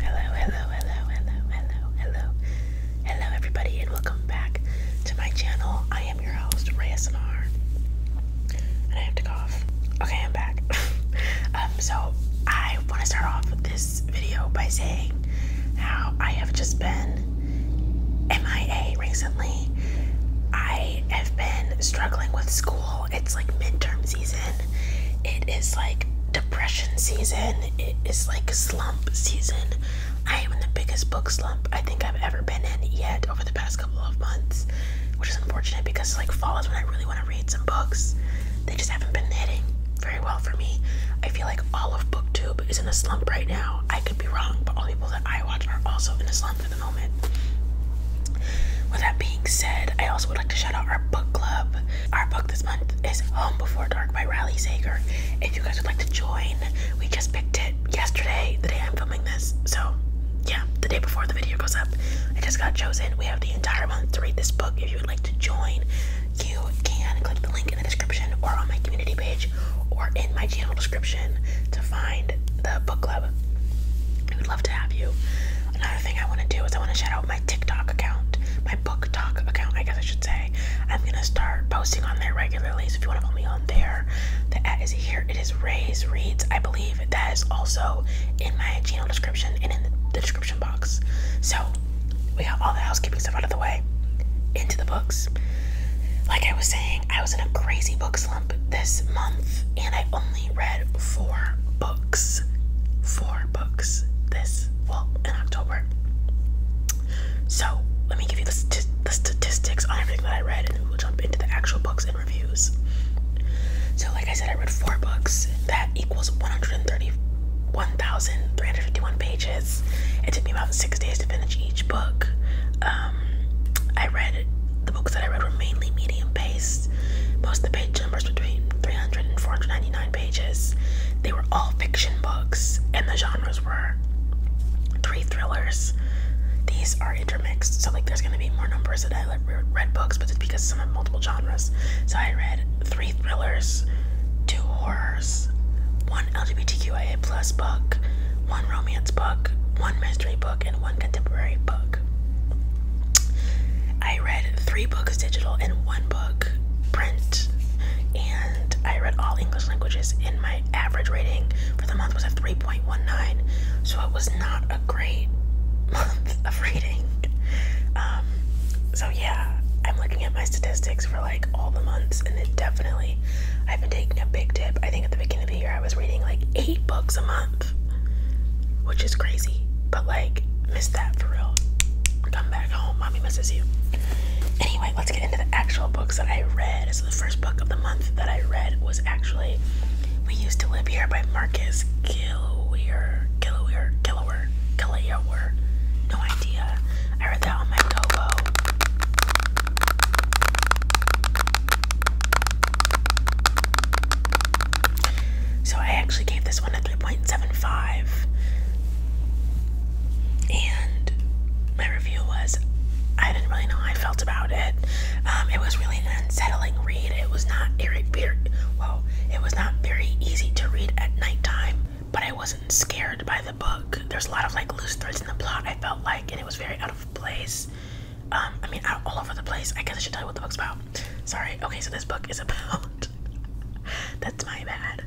Hello, hello, hello, hello, hello, hello, hello, everybody, and welcome back to my channel. I am your host, RaySMR, and I have to cough. Okay, I'm back. um, so I want to start off with this video by saying how I have just been MIA recently. I have been struggling with school it's like midterm season, it is like depression season, it is like slump season. I am in the biggest book slump I think I've ever been in yet over the past couple of months, which is unfortunate because like fall is when I really want to read some books. They just haven't been hitting very well for me. I feel like all of BookTube is in a slump right now. I could be wrong, but all people that I watch are also in a slump that with that being said, I also would like to shout out our book club. Our book this month is Home Before Dark by Riley Zager. If you guys would like to join, we just picked it yesterday, the day I'm filming this. So, yeah, the day before the video goes up, I just got chosen. We have the entire month to read this book. If you would like to join, you can click the link in the description or on my community page or in my channel description to find the book club. We would love to have you. Another thing I want to do is I want to shout out my TikTok account, my book account, I guess I should say. I'm gonna start posting on there regularly. So if you want to follow me on there, the at is here. It is Ray's Reads, I believe. That is also in my channel description and in the description box. So we have all the housekeeping stuff out of the way. Into the books. Like I was saying, I was in a crazy book slump this month, and I only read four books. Four books this, well, in October. So, let me give you the, the statistics on everything that I read, and we'll jump into the actual books and reviews. So, like I said, I read four books. That equals 131,351 pages. It took me about six days to finish each book. Um, I read the books that I read were mainly medium paced. Most the page numbers between 300 and 499 pages. They were all fiction books, and the genres were three thrillers. These are intermixed, so like there's gonna be more numbers that I read books, but it's because some have multiple genres. So I read three thrillers, two horrors, one LGBTQIA plus book, one romance book, one mystery book and one contemporary book. I read three books digital and one book print, and I read all English languages. And my average rating for the month was a 3.19, so it was not a great month of reading. Um, so yeah, I'm looking at my statistics for like all the months, and it definitely I've been taking a big dip. I think at the beginning of the year I was reading like eight books a month which is crazy. But like, miss that for real. Come back home, mommy misses you. Anyway, let's get into the actual books that I read. So the first book of the month that I read was actually "We Used to Live Here" by Marcus Gillier. Gillier. Gillier. Gillier. No idea. I read that on my Kobo. So I actually gave this one a 3.75. And my review was I didn't really know how I felt about it. Um, it was really an unsettling read. It was not well, it was not very easy to read at nighttime, but I wasn't scared by the book. There's a lot of like loose threads in the plot I felt like and it was very out of place. Um, I mean, all over the place. I guess I should tell you what the book's about. Sorry. Okay, so this book is about. That's my bad.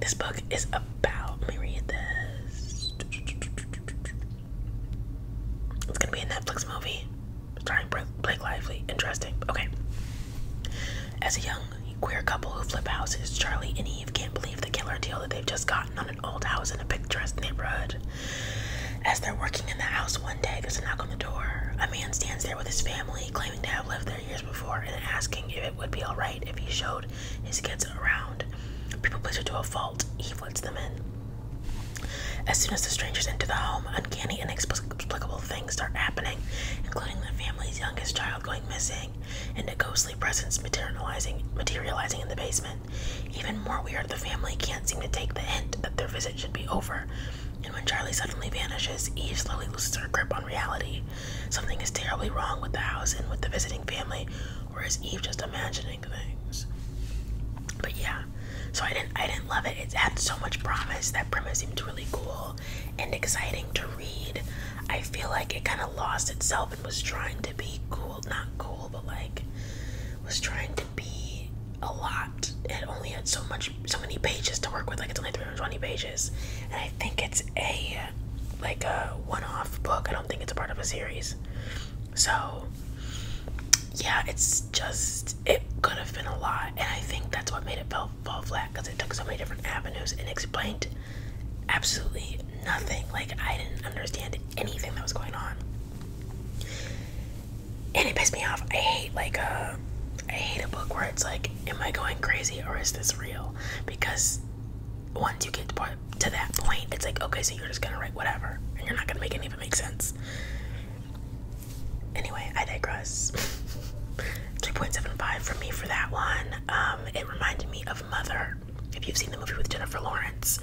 This book is about. Let me read this. It's gonna be a Netflix movie starring Blake Lively. Interesting. Okay. As a young queer couple who flip houses, Charlie and Eve can't believe the killer deal that they've just got gotten an old house in a picturesque neighborhood. As they're working in the house one day, there's a knock on the door. A man stands there with his family, claiming to have lived there years before and asking if it would be alright if he showed his kids around. People him to a fault, he lets them in. As soon as the strangers enter the home, uncanny inexplicable things start happening, including the family's youngest child going missing and a ghostly presence materializing materializing in the basement even more weird, the family can't seem to take the hint that their visit should be over. And when Charlie suddenly vanishes, Eve slowly loses her grip on reality. Something is terribly wrong with the house and with the visiting family, or is Eve just imagining things? But yeah, so I didn't I didn't love it. It had so much promise. That premise seemed really cool and exciting to read. I feel like it kind of lost itself and was trying to be cool, not cool, but like was trying to be a lot. It only had so much, so many pages to work with. Like it's only 320 pages, and I think it's a like a one-off book. I don't think it's a part of a series. So yeah, it's just it could have been a lot, and I think that's what made it fall, fall flat because it took so many different avenues and explained absolutely nothing. Like I didn't understand anything that was going on. And it pissed me off. I hate like a, uh, I hate a book where it's like, am I going crazy or is this real? Because once you get to that point, it's like, okay, so you're just gonna write whatever, and you're not gonna make any of it make sense. Anyway, I digress. Two point seven five for me for that one. Um, it reminded me of Mother if you've seen the movie with Jennifer Lawrence,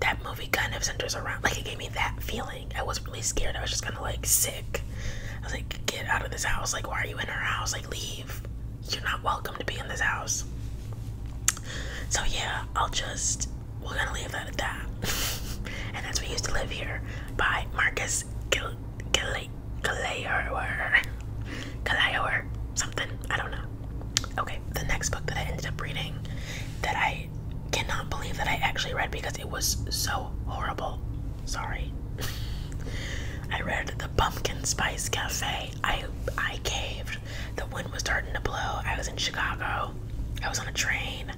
that movie kind of centers around, like, it gave me that feeling. I was not really scared. I was just kind of like sick. I was like, get out of this house. Like, why are you in her house? Like, leave. You're not welcome to be in this house. So, yeah, I'll just, we're gonna leave that at that. and that's We Used to Live Here by Marcus Gil Gil something. I don't know. Okay, the next book that I ended up reading that I cannot believe that I actually read because it was so horrible. Sorry. I read The Pumpkin Spice Cafe. I I caved. The wind was starting to blow. I was in Chicago. I was on a train.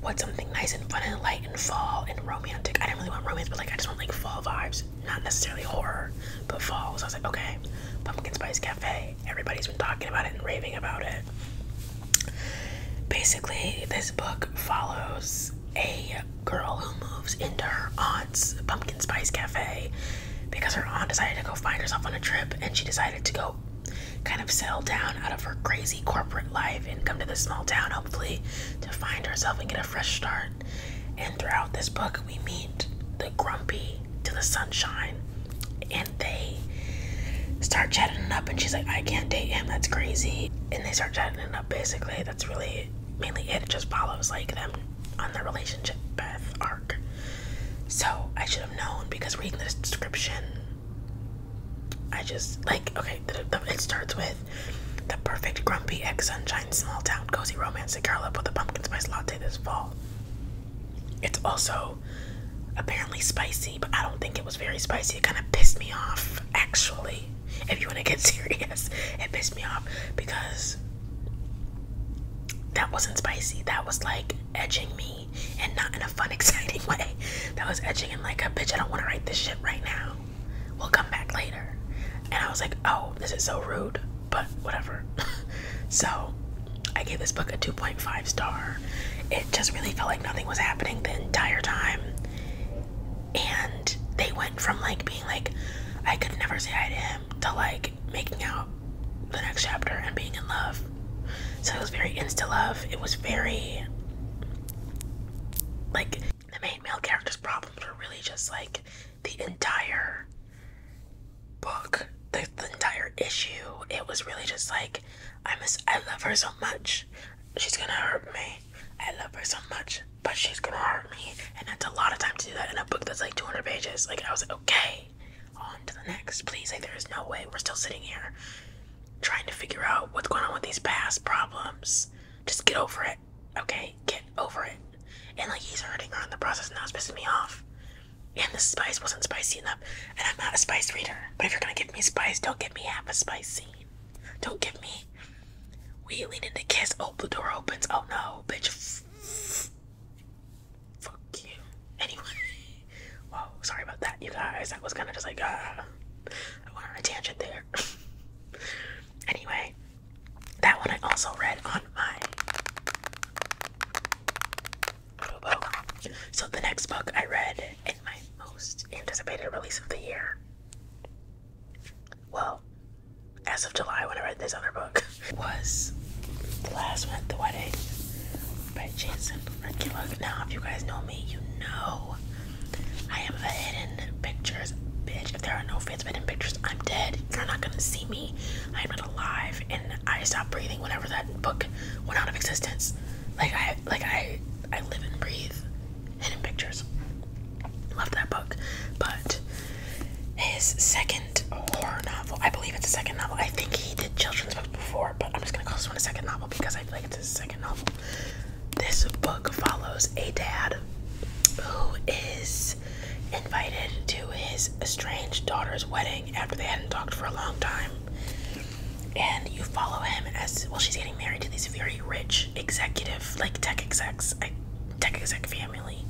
What's something nice and fun and light and fall and romantic? I didn't really want romance, but like I just want like fall vibes. Not necessarily horror, but fall. So I was like, okay, Pumpkin Spice Cafe. Everybody's been talking about it and raving about it. Basically, this book follows a girl who moves into her aunt's pumpkin spice cafe because her aunt decided to go find herself on a trip and she decided to go kind of settle down out of her crazy corporate life and come to this small town, hopefully, to find herself and get a fresh start. And throughout this book, we meet the grumpy to the sunshine and they start chatting up and she's like i can't date him that's crazy and they start chatting up basically that's really mainly it just follows like them on their relationship path arc so i should have known because reading the description i just like okay it starts with the perfect grumpy ex-sunshine small town cozy romance to curl up with a pumpkin spice latte this fall it's also apparently spicy, but I don't think it was very spicy. It kind of pissed me off, actually. If you want to get serious, it pissed me off because that wasn't spicy. That was like edging me and not in a fun, exciting way. That was edging in like a bitch, I don't want to write this shit right now. We'll come back later. And I was like, oh, this is so rude but whatever. so I gave this book a 2.5 star. It just really felt like nothing was happening the entire time. And they went from like being like, I could never say hi to him to like making out the next chapter and being in love. So it was very insta love. It was very like the main male character's problems were really just like the entire book, the, entire issue. It was really just like, I miss, I love her so much. She's gonna hurt me. I love her so much, but she's gonna hurt me. And that's a lot of time to do that in a book that's like 200 pages. Like, I was like, okay, on to the next, please. Like, there is no way we're still sitting here trying to figure out what's going on with these past problems. Just get over it, okay? Get over it and like he's hurting her in the process, and that's pissing me off. And the spice wasn't spicy enough, and I'm not a spice reader. But if you're gonna give me spice, don't give me half a spice scene. Don't give me. We lean in to kiss. Oh, the door opens. Oh no, bitch. Fuck you. Anyway. Whoa, sorry about that, you guys. That was kind of just like, uh, I went on a tangent there. anyway, that one I also read on my book. So the next book I read in my most anticipated release of the year. Well, as of July when I read this other book was The Last One at the Wedding by Jason Regulug. Now if you guys know me, you know I am a hidden pictures bitch. If there are no outfits, but in pictures, I'm dead. You're not gonna see me. I'm not alive, and I stopped breathing whenever that book went out of existence. Like I, like I, I live and breathe hidden pictures. Love that book, but his second horror novel, I believe it's a second novel. I think he did children's books before, but I'm just gonna call this one a second novel because I feel like it's a second novel. This book follows a dad who is invited to his estranged daughter's wedding after they hadn't talked for a long time. And you follow him as well, she's getting married to this very rich executive, like tech execs, a tech exec family.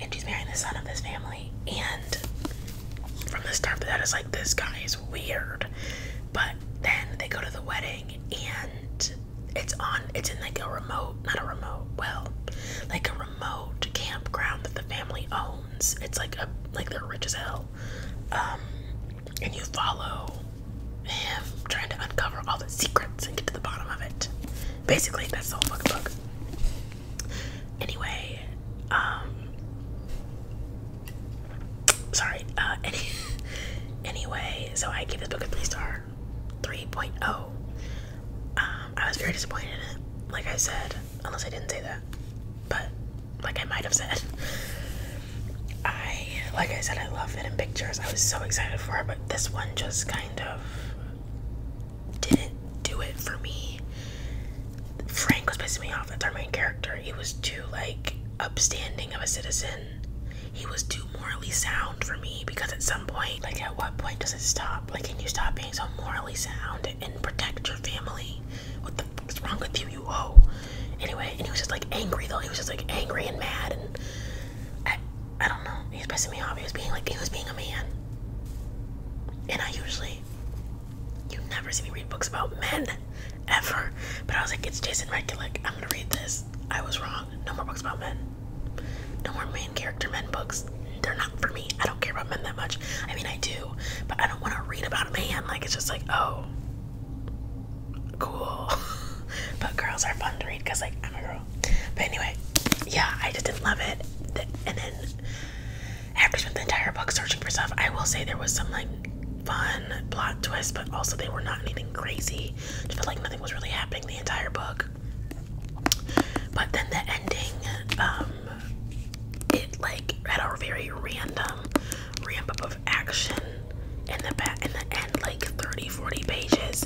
And she's marrying the son of this family. And from the start, that is like, this guy is weird. But then they go to the wedding and it's on, it's in like a remote, not a remote, well, like a remote campground that the family owns. It's like a like they're rich as hell. Um, and you follow him trying to uncover all the secrets and get to the bottom of it. Basically, that's the whole fucking book. Anyway, um, sorry. Uh, anyway, so I gave this book a three star. 3.0. Um, I was very disappointed in it, like I said, unless I didn't say that, but like I might have said. I, like I said, I love it in pictures. I was so excited for it, but this one just kind of didn't do it for me. Frank was pissing me off. That's our main character. He was too, like, upstanding of a citizen. He was too morally sound for me because it's point. Like, at what point does it stop? Like, can you stop being so morally sound and protect your family? What the fuck's wrong with you, you hoe? Anyway, and he was just like angry though. He was just like angry and mad, and I, I don't know. He was pissing me off. He was being like, he was being a man. And I usually, you never see me read books about men, ever. But I was like, it's Jason Redkillick. I'm gonna read this. I was wrong. No more books about men. No more main character men books. They're not for me. I don't care about men that much. I mean, I do, but I don't want to read about a man. Like, it's just like, oh, cool. but girls are fun to read because, like, I'm a girl. But anyway, yeah, I just didn't love it. And then after spent the entire book searching for stuff, I will say there was some, like, fun plot twist, but also they were not anything crazy. Just felt like nothing was really happening the entire book. But then the ending, um, it like had a very random ramp up of action in the back in the end, like 30, 40 pages.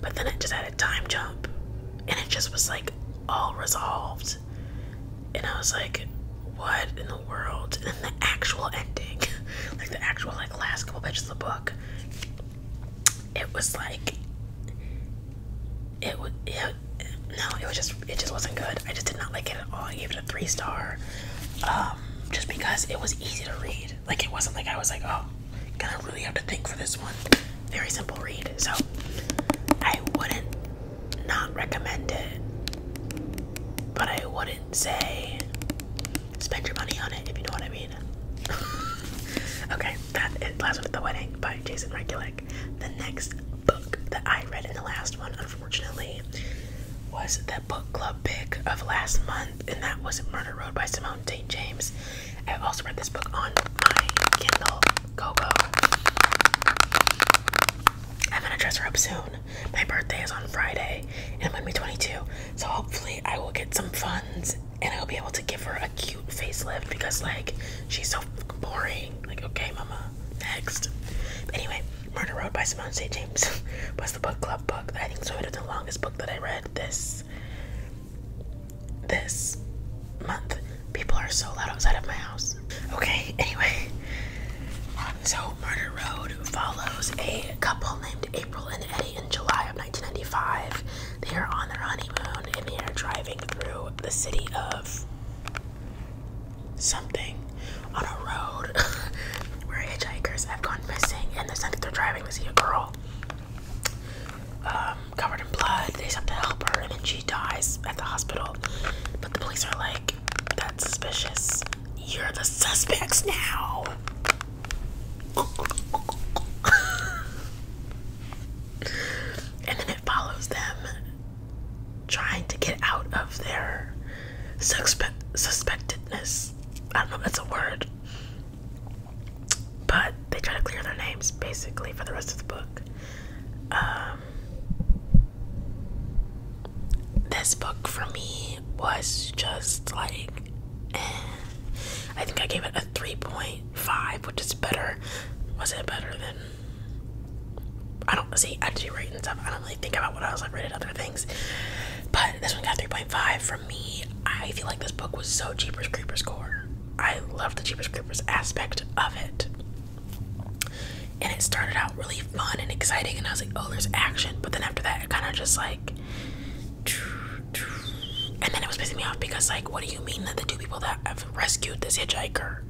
But then it just had a time jump, and it just was like all resolved. And I was like, what in the world? And then the actual ending, like the actual like last couple pages of the book, it was like it would no it was just it just wasn't good i just did not like it at all i gave it a three star um, just because it was easy to read like it wasn't like i was like oh gonna really have to think for this one very simple read so i wouldn't not recommend it but i wouldn't say spend your money on it if you know what I mean. okay, that Last One at the Wedding by Jason Rekulic. The next book that I read in the last one, unfortunately, was the book club pick of last month, and that was Murder Road by Simone St. James. I also read this book on my Kindle Kobo. I'm gonna dress her up soon. My birthday is on Friday, and I'm gonna be 22, so hopefully I will get some funds and I'll be able to give her a cute facelift because like she's so boring. Like, okay, mama, next. anyway, Murder Road by Simone St. James was the book club book I think is sort of the longest book that I read this this month. People are so loud outside of my house. Okay, anyway. So Murder Road follows a couple named April and Eddie in July of 1995. They are on their honeymoon and they are driving through the city of something on a road where hitchhikers have gone missing. And there's something they're driving to see a girl um, covered in blood. They have to help her, and then she dies at the hospital. But the police are like, "That's suspicious. You're the suspects now." and then it follows them trying to get out of their suspe suspectedness. I don't know if that's a word. But they try to clear their names basically for the rest of the book. Um, this book for me was just like I think I gave it a 3.5, which is better. Was it better than? I don't see. I do rate and stuff. I don't really think about what else I've rated other things. But this one got 3.5 from me. I feel like this book was so Jeepers Creepers core. I love the Jeepers Creepers aspect of it. And it started out really fun and exciting, and I was like, oh, there's action. But then after that, it kind of just like and then it was pissing me off because, like, what do you mean that the two people that have rescued this hitchhiker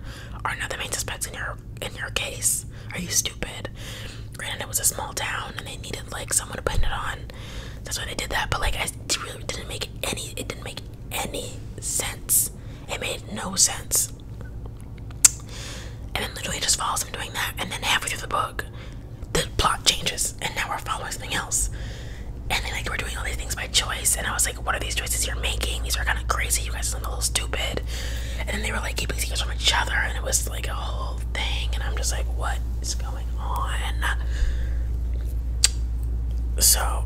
are not the main suspects in your in your case? Are you stupid? And it was a small town and they needed like someone to put it on. That's why they did that. But like, I really didn't make any. It didn't make any sense. It made no sense. And then literally just follows him doing that. And then halfway through the book, the plot changes and now we're following something else. And then like we're doing all these things by choice and I was like, what are these choices you're making? These are kind of crazy. You guys sound a little stupid. And they were like keeping secrets from each other and it was like a whole thing and I'm just like, what is going on? So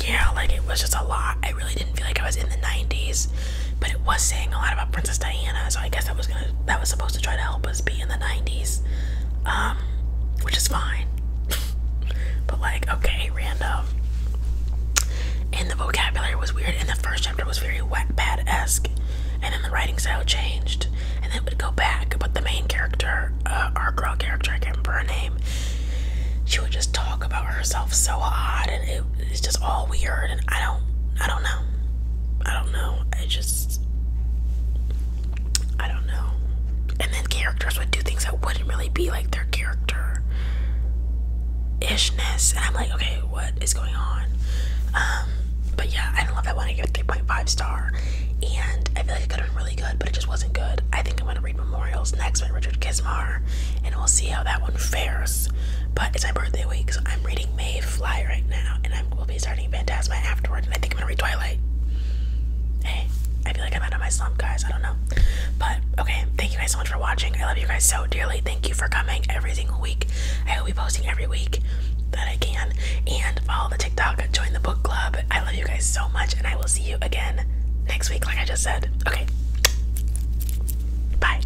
yeah, like it was just a lot. I really didn't feel like I was in the 90s, but it was saying a lot about Princess Diana, so I guess that was gonna that was supposed to try to help us be in the 90s, um, which is fine. but like, okay, random. And the vocabulary was weird, and the first chapter was very Wattpad esque, and then the writing style changed, and then it would go back. But the main character, uh, our girl character, I can't remember her name. She would just talk about herself so odd, and it, it's just all weird. And I don't, I don't know. I don't know. I just I don't know. And then characters would do things that wouldn't really be like their character ishness. And I'm like, okay, what is going on? Um, but yeah, I don't love that one. I give it 3.5 star. And I feel like it could have been really good, but it just wasn't good. I think I'm gonna read Memorials next by Richard Kismar, and we'll see how that one fares. But it's my birthday week, so I'm reading Mayfly right now, and I will be starting Phantasma afterward. And I think I'm gonna read Twilight. Hey, eh, I feel like I'm out of my slump, guys. I don't know. But okay, thank you guys so much for watching. I love you guys so dearly. Thank you for coming every single week. I will be posting every week that I can. And follow the TikTok, join the book club. I love you guys so much, and I will see you again next week, like I just said. Okay, bye.